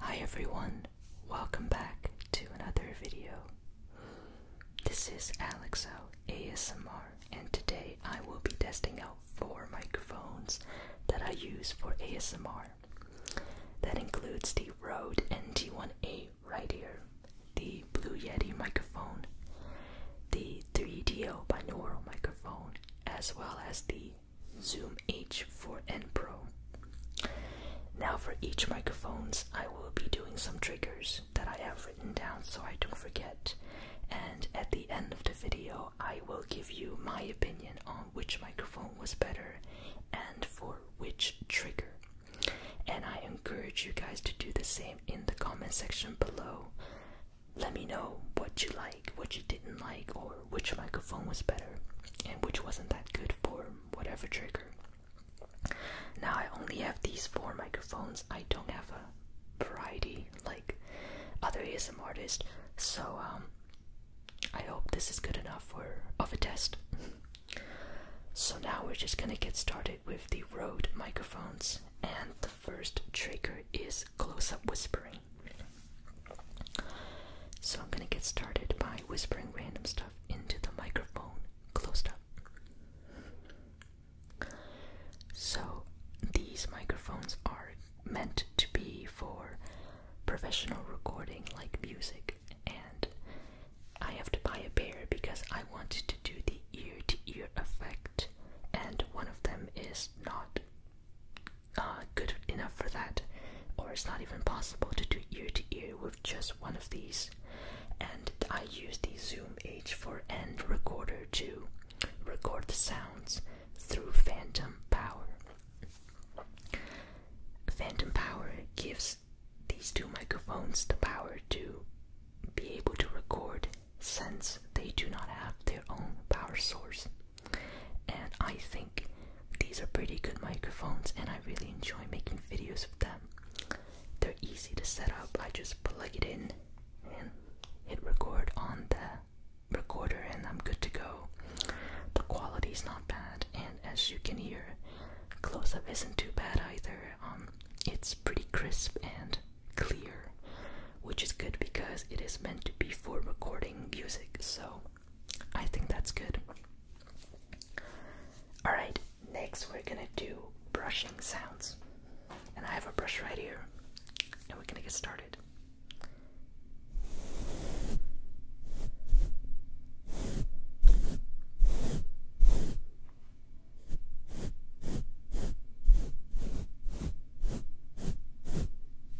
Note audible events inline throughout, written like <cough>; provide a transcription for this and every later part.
Hi everyone, welcome back to another video. This is Alexo ASMR, and today I will be testing out four microphones that I use for ASMR. That includes the Rode NT1A right here, the Blue Yeti microphone, the 3DO binaural microphone, as well as the Zoom H4n Pro. Now for each microphones, I will be doing some triggers that I have written down so I don't forget. And at the end of the video, I will give you my opinion on which microphone was better and for which trigger. And I encourage you guys to do the same in the comment section below. Let me know what you like, what you didn't like, or which microphone was better and which wasn't that good for whatever trigger. Now I only have these four microphones. I don't have a variety like other ASM artists. So um, I hope this is good enough for of a test. <laughs> so now we're just gonna get started with the Rode microphones and the first trigger is close-up whispering. So I'm going to get started by whispering random stuff into the microphone closed up. So these microphones are meant to be for professional recording like music and I have to buy a pair because I wanted to do the ear to ear effect and one of them is not uh, good enough for that, or it's not even possible to do ear to ear with just one of these. And I use the Zoom H4n recorder to record the sounds through phantom power. Phantom power gives these two microphones the power to be able to record since they do not have their own power source and I think these are pretty good microphones and I really enjoy making videos with them. They're easy to set up, I just plug it in and hit record on the recorder and I'm good to go. The quality's not bad and as you can hear, close up isn't too bad either. Um, it's pretty crisp and clear, which is good because it is meant to be for recording music, so I think that's good. Alright, next we're gonna do brushing sounds. And I have a brush right here. And we're gonna get started.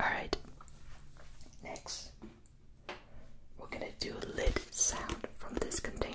All right. Next, we're going to do a lid sound from this container.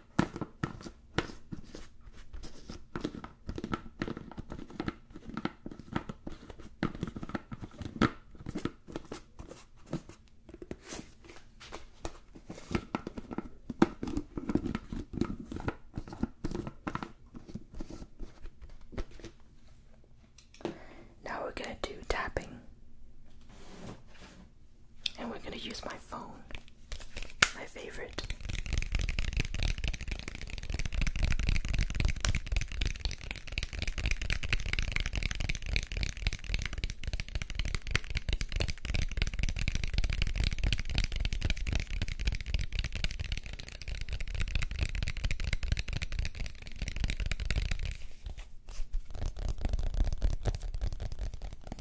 Now we're going to do tapping. And we're gonna use my phone, my favorite.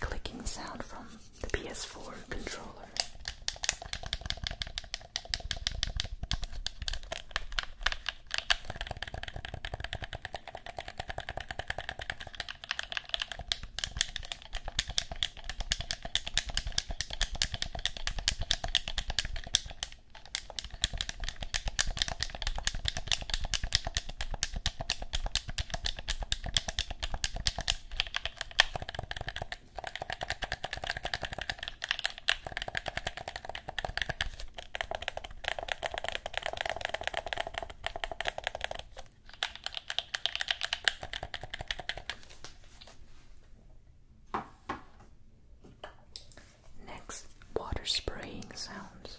clicking sound from the PS4 controller. Next, water spraying sounds.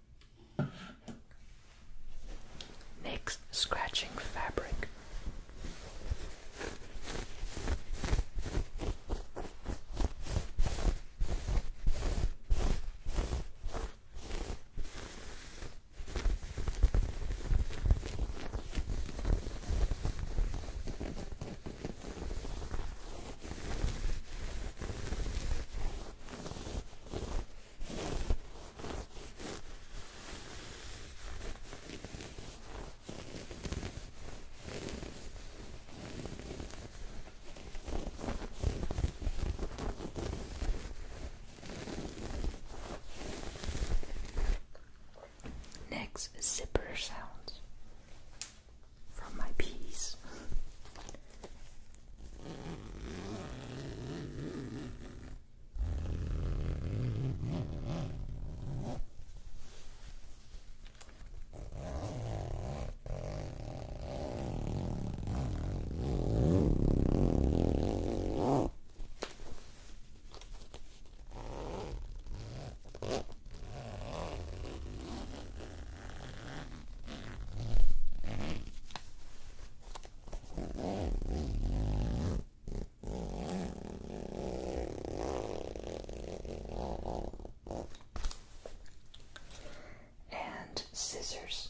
Next, scratching fabric. Next, zipper sounds from my peas and scissors.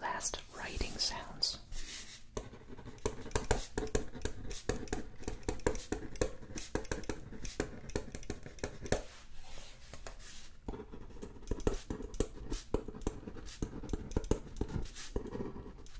Last writing sounds.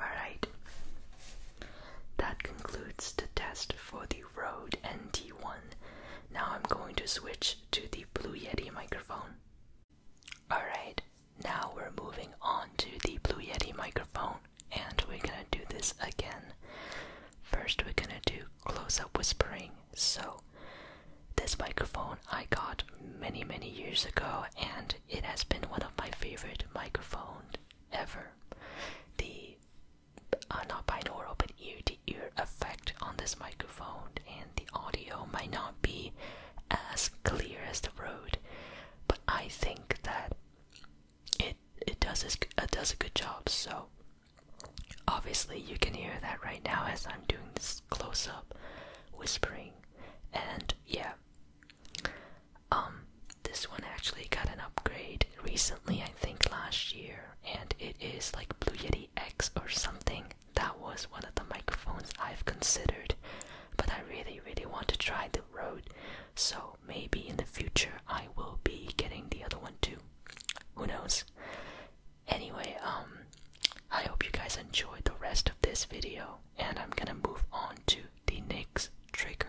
Alright, that concludes the test for the Rode NT1. Now I'm going to switch to the Blue Yeti microphone. Alright, now we're moving on to the Blue Yeti microphone, and we're gonna do this again. First, we're gonna do close up whispering. So, this microphone I got many, many years ago, and it has been one of my favorite microphones ever. The uh, not binaural but ear to ear effect on this microphone, and the audio might not be as clear as the road, but I think that it it does a, does a good job. So obviously you can hear that right now as I'm doing this close up whispering, and yeah, um, this one actually got an upgrade recently. I think last year, and it is like Blue Yeti X or something. That was one of the microphones I've considered, but I really, really want to try the Rode. So maybe in the future I will be getting the other one too who knows? Anyway, um, I hope you guys enjoyed the rest of this video, and I'm gonna move on to the next trigger.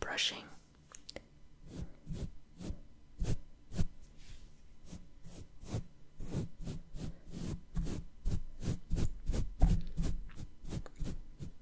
Brushing.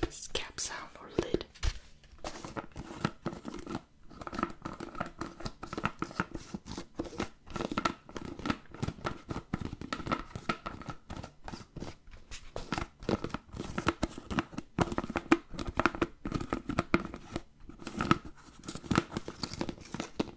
this cap sound or lid.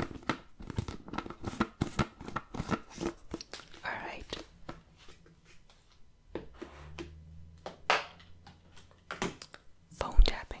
All right. Phone tapping.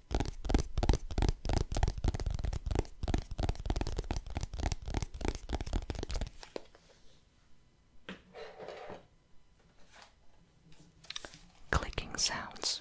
Clicking sounds.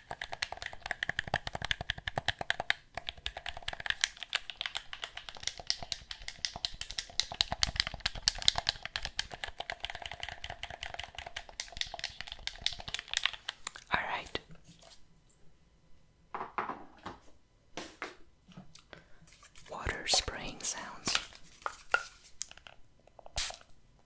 All right. Water spraying sounds.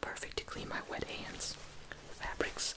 Perfect to clean my wet hands. Fabrics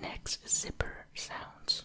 Next zipper sounds.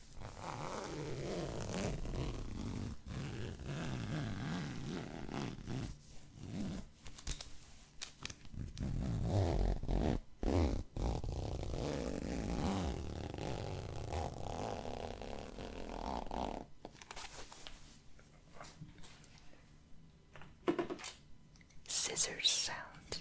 Scissors sound.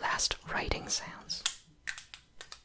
Last writing sounds.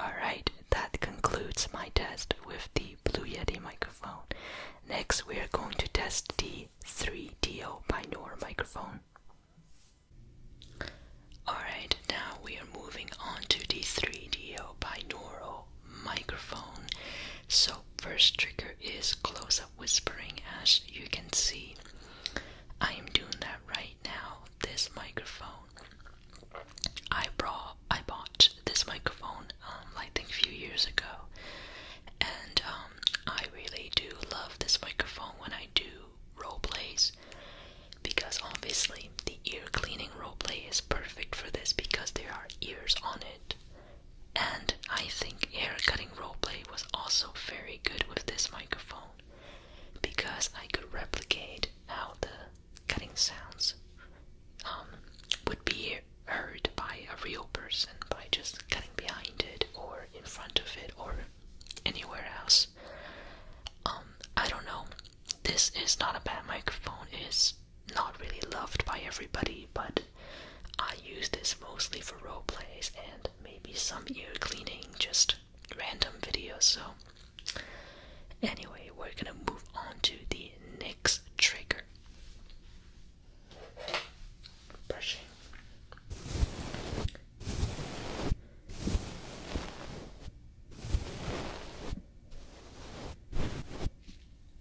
Alright, that concludes my test with the Blue Yeti microphone. Next, we are going to test the 3DO binaural microphone. Alright, now we are moving on to the 3DO binaural microphone. So, first trigger is close up whispering as you can see. I am doing that right now. This microphone. I brought I bought this microphone um I think a few years ago. And um, I really do love this microphone when I do role plays because obviously the ear cleaning role play is perfect for this because there are ears on it. And I think hair cutting roleplay was also very good with this microphone because I could replicate how the cutting sounds um, would be heard by a real person by just cutting behind it or in front of it or anywhere else. Um, I don't know. This is not a bad microphone. It's not really loved by everybody, but I use this mostly for role plays and maybe some ear cleaning, just random videos. So, anyway, we're gonna move on to the next trigger brushing.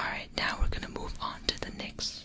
All right, now we're going to move on to the next.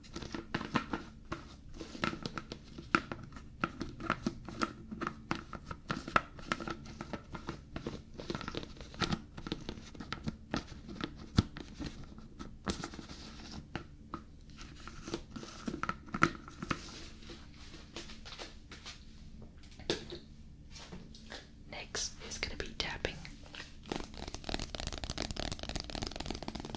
Next is going to be tapping.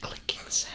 clicking sound.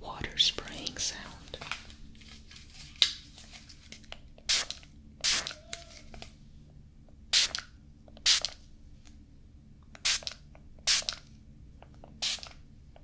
Water spraying sound.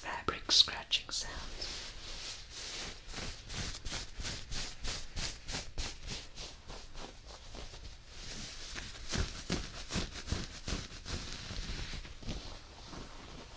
Fabric scratching sounds.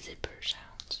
Zipper sounds.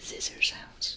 Scissor sounds.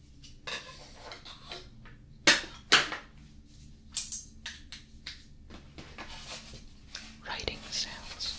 Writing sounds.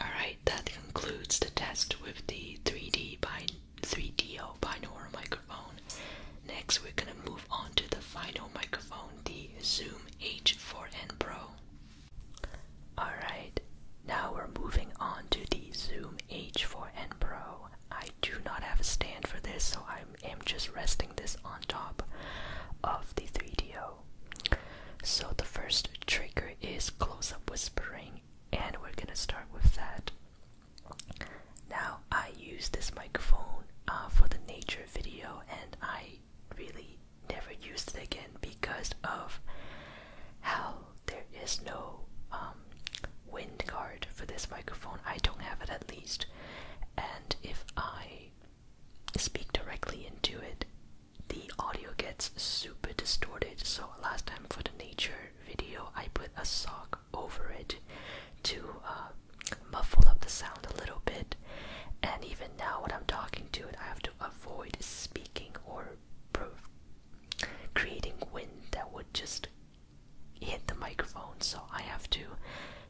Alright, that concludes the test with the 3D bind 3 d 0 binaural microphone. Next, we're going to move on to the final microphone, the Zoom H4n Pro. Alright, now we're moving on to the Zoom H4n Pro. I do not have a stand for this, so I am just resting this on top of the 3 d 0 So, the first trigger is close up whispering, and we're gonna start with that. Now, I use this microphone uh, for the nature video, and I really never used it again because of how there is no um, wind guard for this microphone. I don't have it at least, and if I speak directly into it, the audio gets super distorted. So, last time for the nature video, I put a sock over it to uh, muffle up the sound a little bit. And even now, when I'm talking to it, I have to avoid speaking or creating wind that would just hit the microphone. So I have to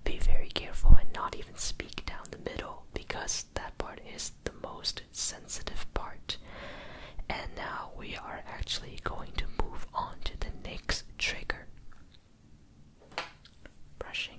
be very careful and not even speak down the middle because that part is the most sensitive part. And now we are actually going to move on to the next trigger brushing.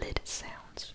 Lid sounds.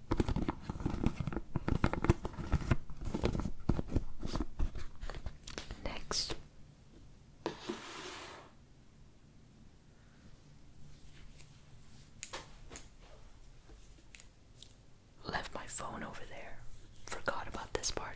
Next. Left my phone over there. Forgot about this part.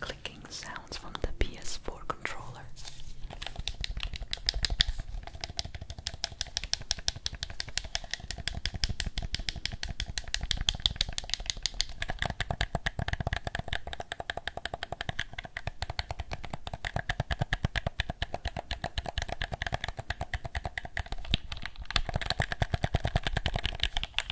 clicking sounds from the PS4 controller.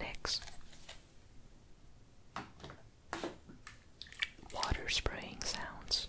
Next, water spraying sounds.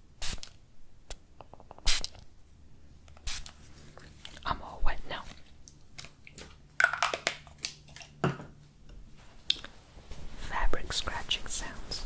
I'm all wet now. Fabric scratching sounds.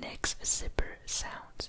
Next zipper sound.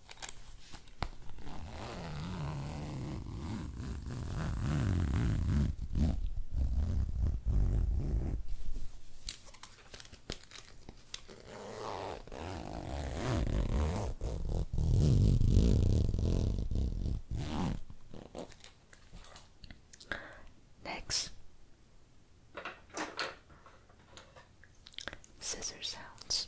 Next, scissors sounds.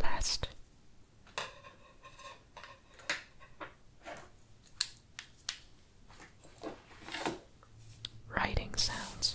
Last. Writing sounds.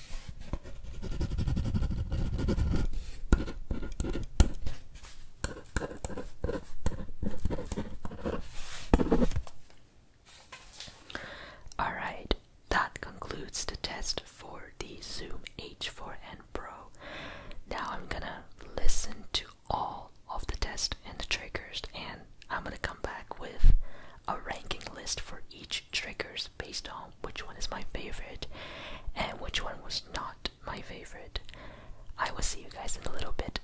All right, that concludes the test for the Zoom H4n Pro. Now I'm gonna listen to all of the test and the triggers, and I'm gonna come back with a ranking list for each triggers based on which one is my favorite and which one was not my favorite. I will see you guys in a little bit.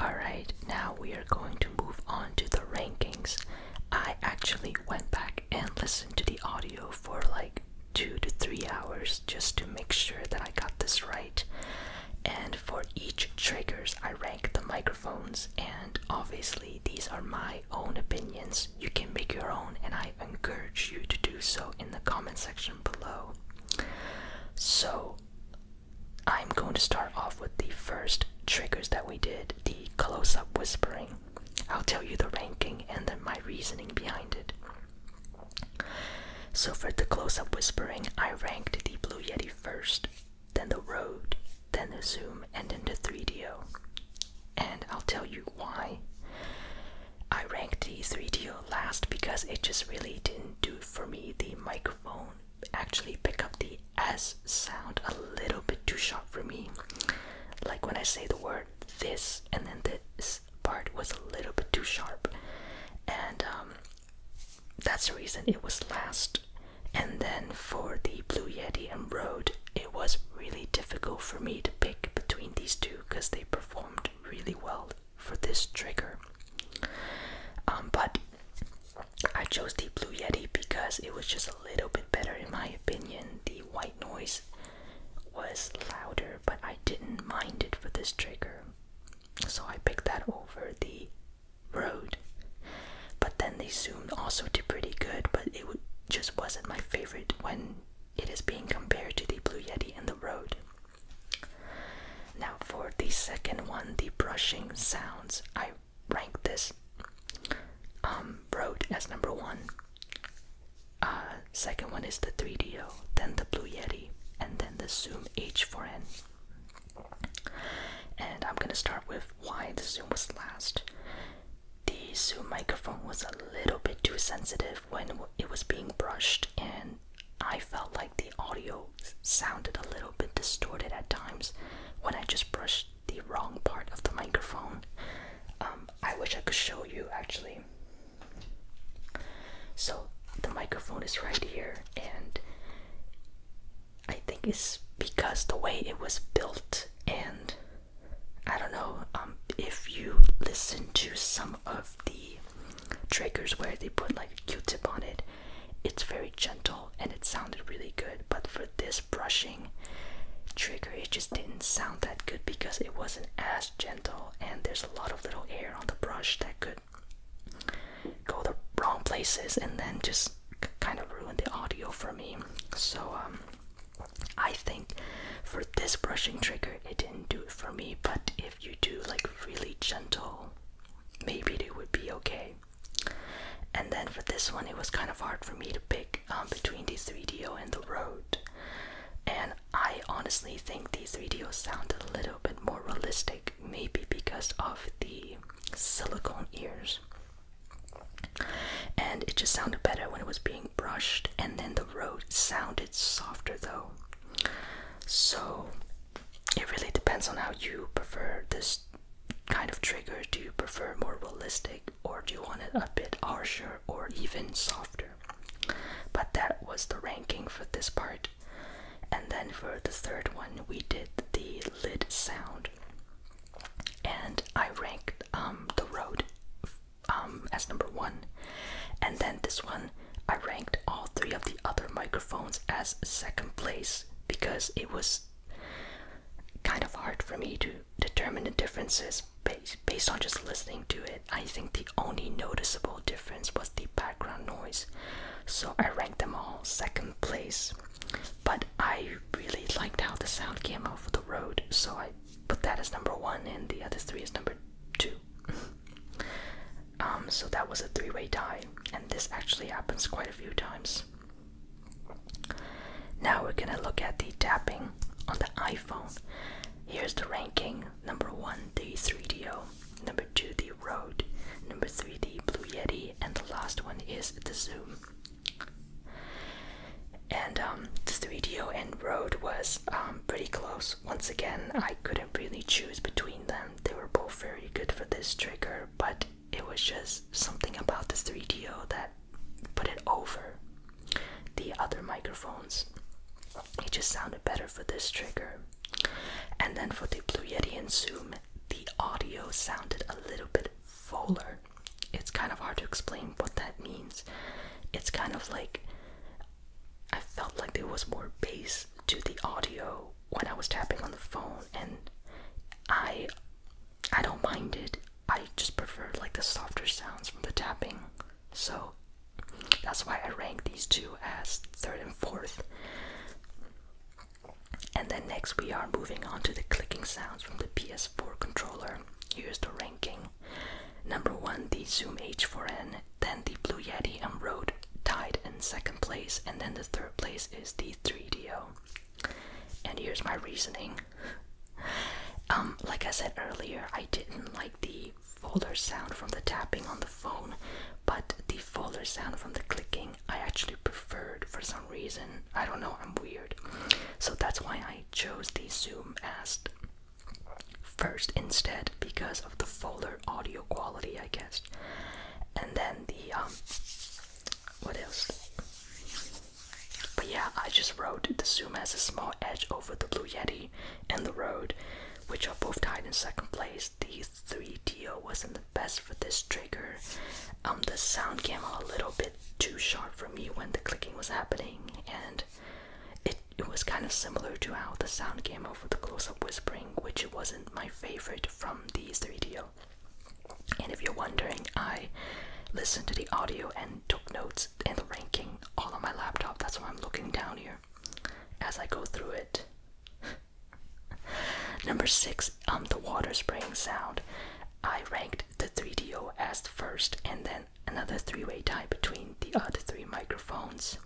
Alright, now we are going to move on to the rankings. I actually went back and listened to the audio for like two to three hours just to make sure that I got this right. And for each triggers, I rank the microphones, and obviously, these are my own opinions you can make your own, and I encourage you to do so in the comment section below. So, I'm going to start off with the first triggers that we did the close up whispering. I'll tell you the ranking and then my reasoning behind it. So, for the close up whispering, I ranked the Blue Yeti first, then the Road, then the Zoom, and then the 3DO. And I'll tell you why. I ranked the 3DO last because it just really didn't do for me. The microphone actually pick up the S sound a little bit too sharp for me. Like when I say the word this and then this part was a little bit too sharp. And um, that's the reason it was last. And then for the Blue Yeti and Rode, it was really difficult for me to pick between these two because they performed really well for this trigger. Um, but I chose the Blue Yeti because it was just a little bit better in my opinion. The white noise was louder, but I didn't mind it for this trigger. So I picked that over the Road but then they soon also did pretty good, but it just wasn't my favorite when it is being compared to the Blue Yeti and the Road. Now, for the second one, the brushing sounds, I rank this um, as number one. Uh, second one is the 3DO, then the Blue Yeti, and then the Zoom H4n. And I'm gonna start with why the Zoom was last the Zoom microphone was a little bit too sensitive when it was being brushed, and I felt like the audio sounded a little bit distorted at times when I just brushed the wrong part of the microphone. Um, I wish I could show you actually. So the microphone is right here, and I think it's because the way it was built and I don't know um, if you listen to some of the triggers where they put like q Q-tip on it. It's very gentle and it sounded really good, but for this brushing trigger, it just didn't sound that good because it wasn't as gentle, and there's a lot of little air on the brush that could go the wrong places and then just kind of ruin the audio for me. So um, I think for this brushing trigger, it didn't do it for me, but if you do like really gentle, maybe it would be okay. And then for this one, it was kind of hard for me to pick um, between the 3DO and the road. And I honestly think the 3DO sounded a little bit more realistic, maybe because of the silicone ears. And it just sounded better when it was being brushed, and then the road sounded softer though. So it really depends on how you prefer this kind of trigger. Do you prefer more realistic, or do you want it a bit harsher or even softer? But that was the ranking for this part. And then for the third one, we did the lid sound and I ranked um, the road um, as number one, and then this one I ranked all three of the other microphones as second place because it was kind of hard for me to determine the differences based, based on just listening to it. I think the only noticeable difference was the background noise, so I ranked them all second place. But I really liked how the sound came out of the road, so I but that is number one, and the other three is number two. <laughs> um, so that was a three way tie, and this actually happens quite a few times. Now we're gonna look at the tapping on the iPhone. Here's the ranking number one, the 3DO, number two, the Rode, number three, the Blue Yeti, and the last one is the Zoom. And um, the studio and road was um, pretty close. Once again, I couldn't really choose between them. They were both very good for this trigger, but it was just something about the 3D studio that put it over the other microphones. It just sounded better for this trigger. And then for the Blue Yeti and Zoom, the audio sounded a little bit fuller. It's kind of hard to explain what that means. It's kind of like I felt like there was more bass to the audio when I was tapping on the phone and I I don't mind it. I just prefer like the softer sounds from the tapping. So that's why I rank these two as third and fourth. And then next we are moving on to the clicking sounds from the PS4 controller. Here's the ranking. Number one, the Zoom H4n, then the Blue Yeti and Road tied in second place, and then the third place is the 3DO. And here's my reasoning. Um, like I said earlier, I didn't like the folder sound from the tapping on the phone, but the folder sound from the clicking I actually preferred for some reason. I don't know, I'm weird. So that's why I chose the Zoom as first instead because of the fuller audio quality, I guess. And then the um, what else? But yeah, I just wrote the Zoom has a small edge over the Blue Yeti and the Road, which are both tied in second place. The 3DO wasn't the best for this trigger. Um, the sound came out a little bit too sharp for me when the clicking was happening, and it, it was kind of similar to how the sound came out for the close up whispering, which wasn't my favorite from the 3DO. And if you're wondering, I listened to the audio and took notes and ranking all on my laptop. That's why I'm looking down here as I go through it. <laughs> Number six, um, the water spraying sound. I ranked the 3DO as first, and then another three-way tie between the other three microphones.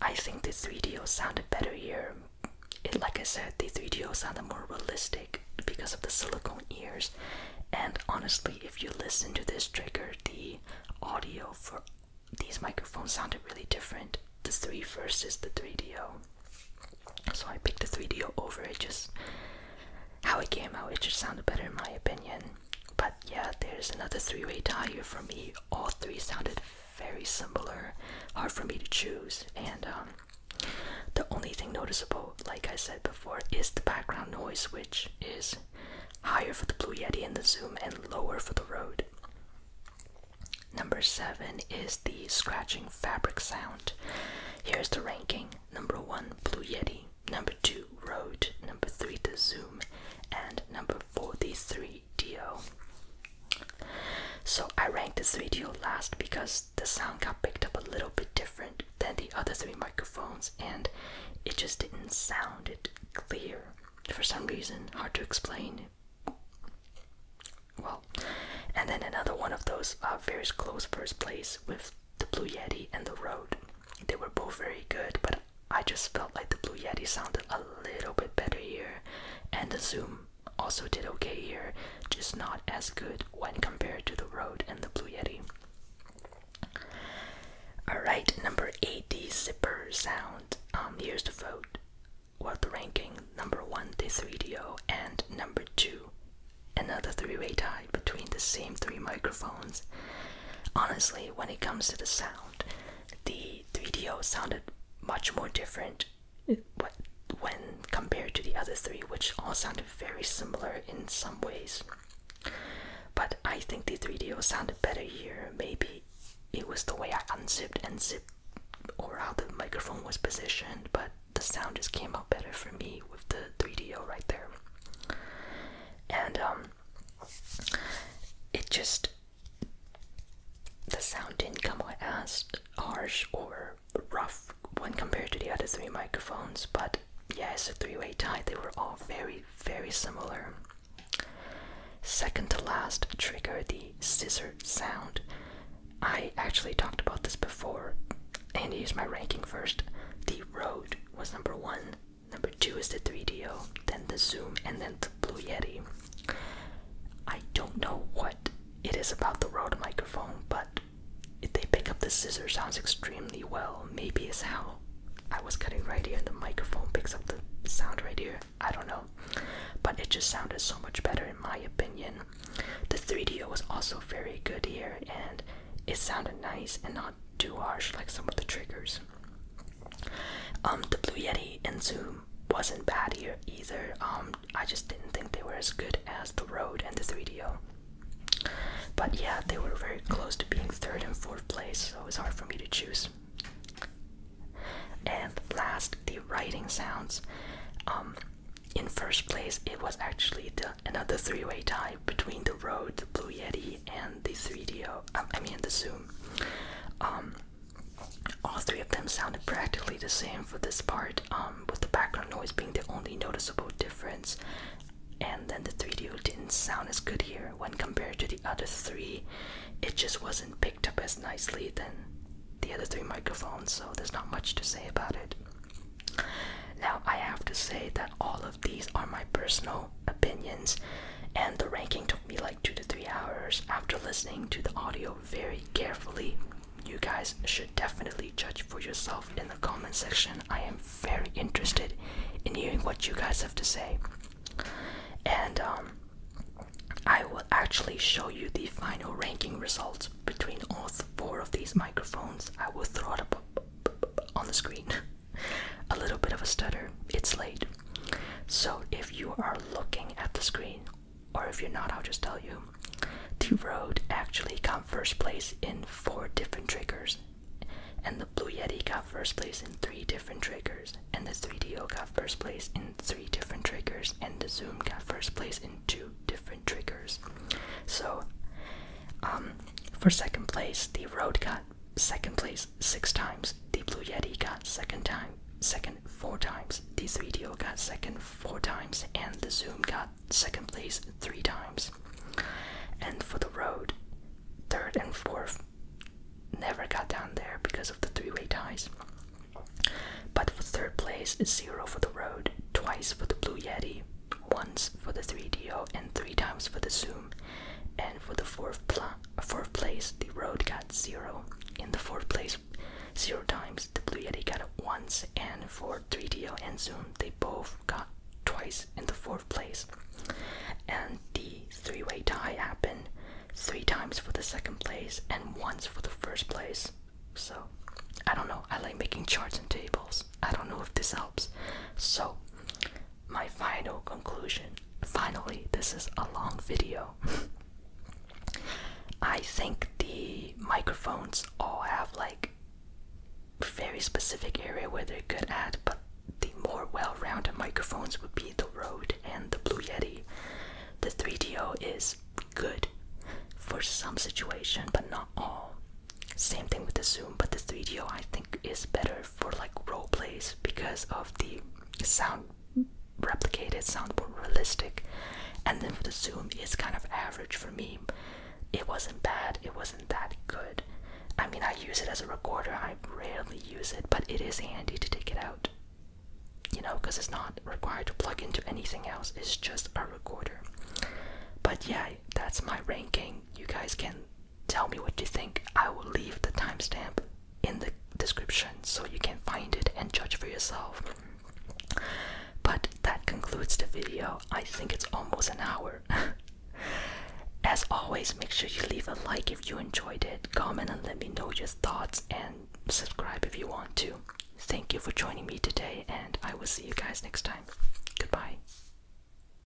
I think the 3DO sounded better here. like I said, the 3DO sounded more realistic because of the silicone ears. And honestly, if you listen to this trigger, the audio for these microphones sounded really different. The 3 is the 3DO. So I picked the 3DO over it how it came out, it just sounded better in my opinion. But yeah, there's another three-way tie here for me. All three sounded very similar, hard for me to choose, and um, the only thing noticeable, like I said before, is the background noise, which is higher for the Blue Yeti and the Zoom, and lower for the Rode. Number seven is the scratching fabric sound. Here's the ranking: number one, Blue Yeti number 2 Road, number 3 The Zoom, and number 4 the 3DO. So I ranked the 3DO last because the sound got picked up a little bit different than the other three microphones and it just didn't sound it clear for some reason, hard to explain. Well, and then another one of those uh, very close first place with the Blue Yeti and the Road. They were both very good, but I just felt like the Blue Yeti sounded a little bit better here, and the Zoom also did okay here, just not as good when compared to the Road and the Blue Yeti. Alright, number 80 zipper sound. Um, here's the vote. Well, the ranking number 1 this video and number 2 another three-way tie between the same three microphones. Honestly, when it comes to the sound, the 3DO sounded much more different when compared to the other three, which all sounded very similar in some ways. But I think the 3DO sounded better here. Maybe it was the way I unzipped and zipped or how the microphone was positioned, but the sound just came out better for me with the 3DO right there and um, it just the sound didn't come out as harsh or rough when compared to the other three microphones but yeah it's a three-way tie they were all very very similar second to last trigger the scissor sound i actually talked about this before and here's my ranking first the Rode was number one. Number two is the 3DO, then the Zoom, and then the Blue Yeti. I don't know what it is about the Rode microphone, but if they pick up the scissor sounds extremely well. Maybe it's how I was cutting right here and the microphone picks up the sound right here. I don't know. But it just sounded so much better in my opinion. The 3DO was also very good here and it sounded nice and not too harsh like some of the triggers. Um, the Blue Yeti and Zoom wasn't bad here either. Um, I just didn't think they were as good as the Road and the 3DO. But yeah, they were very close to being third and fourth place, so it was hard for me to choose. And last, the writing sounds. Um, in first place, it was actually another three-way tie between the Road, the Blue Yeti, and the 3DO, um, I mean the Zoom. Um, all three of them sounded practically the same for this part, um, with the background noise being the only noticeable difference. And then the 3DO didn't sound as good here when compared to the other three. It just wasn't picked up as nicely than the other three microphones, so there's not much to say about it. Now, I have to say that all of these are my personal opinions, and the ranking took me like two to three hours after listening to the audio very carefully. You guys should definitely judge for yourself in the comment section. I am very interested in hearing what you guys have to say. And um, I will actually show you the final ranking results between all four of these microphones. I will throw it up on the screen. <laughs> a little bit of a stutter. It's late. So if you are looking at the screen, or if you're not, I'll just tell you. The road actually got first place in four different triggers, and the Blue Yeti got first place in three different triggers, and the 3DO got first place in three different triggers, and the Zoom got first place in two different triggers. So, um, for second place, the road got second place six times. The Blue Yeti got second time, second four times. The 3DO got second four times, and the Zoom got second place three times. And for the road, third and fourth never got down there because of the three-way ties. But for third place, zero for the road, twice for the Blue Yeti, once for the 3DO and three times for the Zoom. And for the fourth, pla fourth place, the Road got zero. In the fourth place, zero times, the Blue Yeti got it once. And for 3DO and Zoom, they both got twice in the fourth place. And the three way tie happened three times for the second place and once for the first place. So, I don't know. I like making charts and tables. I don't know if this helps. So, my final conclusion. Finally, this is a long video. <laughs> I think the microphones all have like very specific area where they're good at, but the more well-rounded microphones would be the Rode and the Blue Yeti. The 3DO is good for some situation, but not all. Same thing with the zoom, but the 3DO think is better for like role plays because of the sound replicated, sound more realistic. And then for the zoom, it's kind of average for me. It wasn't bad, it wasn't that good. I mean, I use it as a recorder, I rarely use it, but it is handy to take it out. You know, because it's not required to plug into anything else, it's just a recorder. But yeah, that's my ranking. You guys can Tell me what you think. I will leave the timestamp in the description so you can find it and judge for yourself. But that concludes the video. I think it's almost an hour. <laughs> As always, make sure you leave a like if you enjoyed it, comment and let me know your thoughts, and subscribe if you want to. Thank you for joining me today, and I will see you guys next time. Goodbye.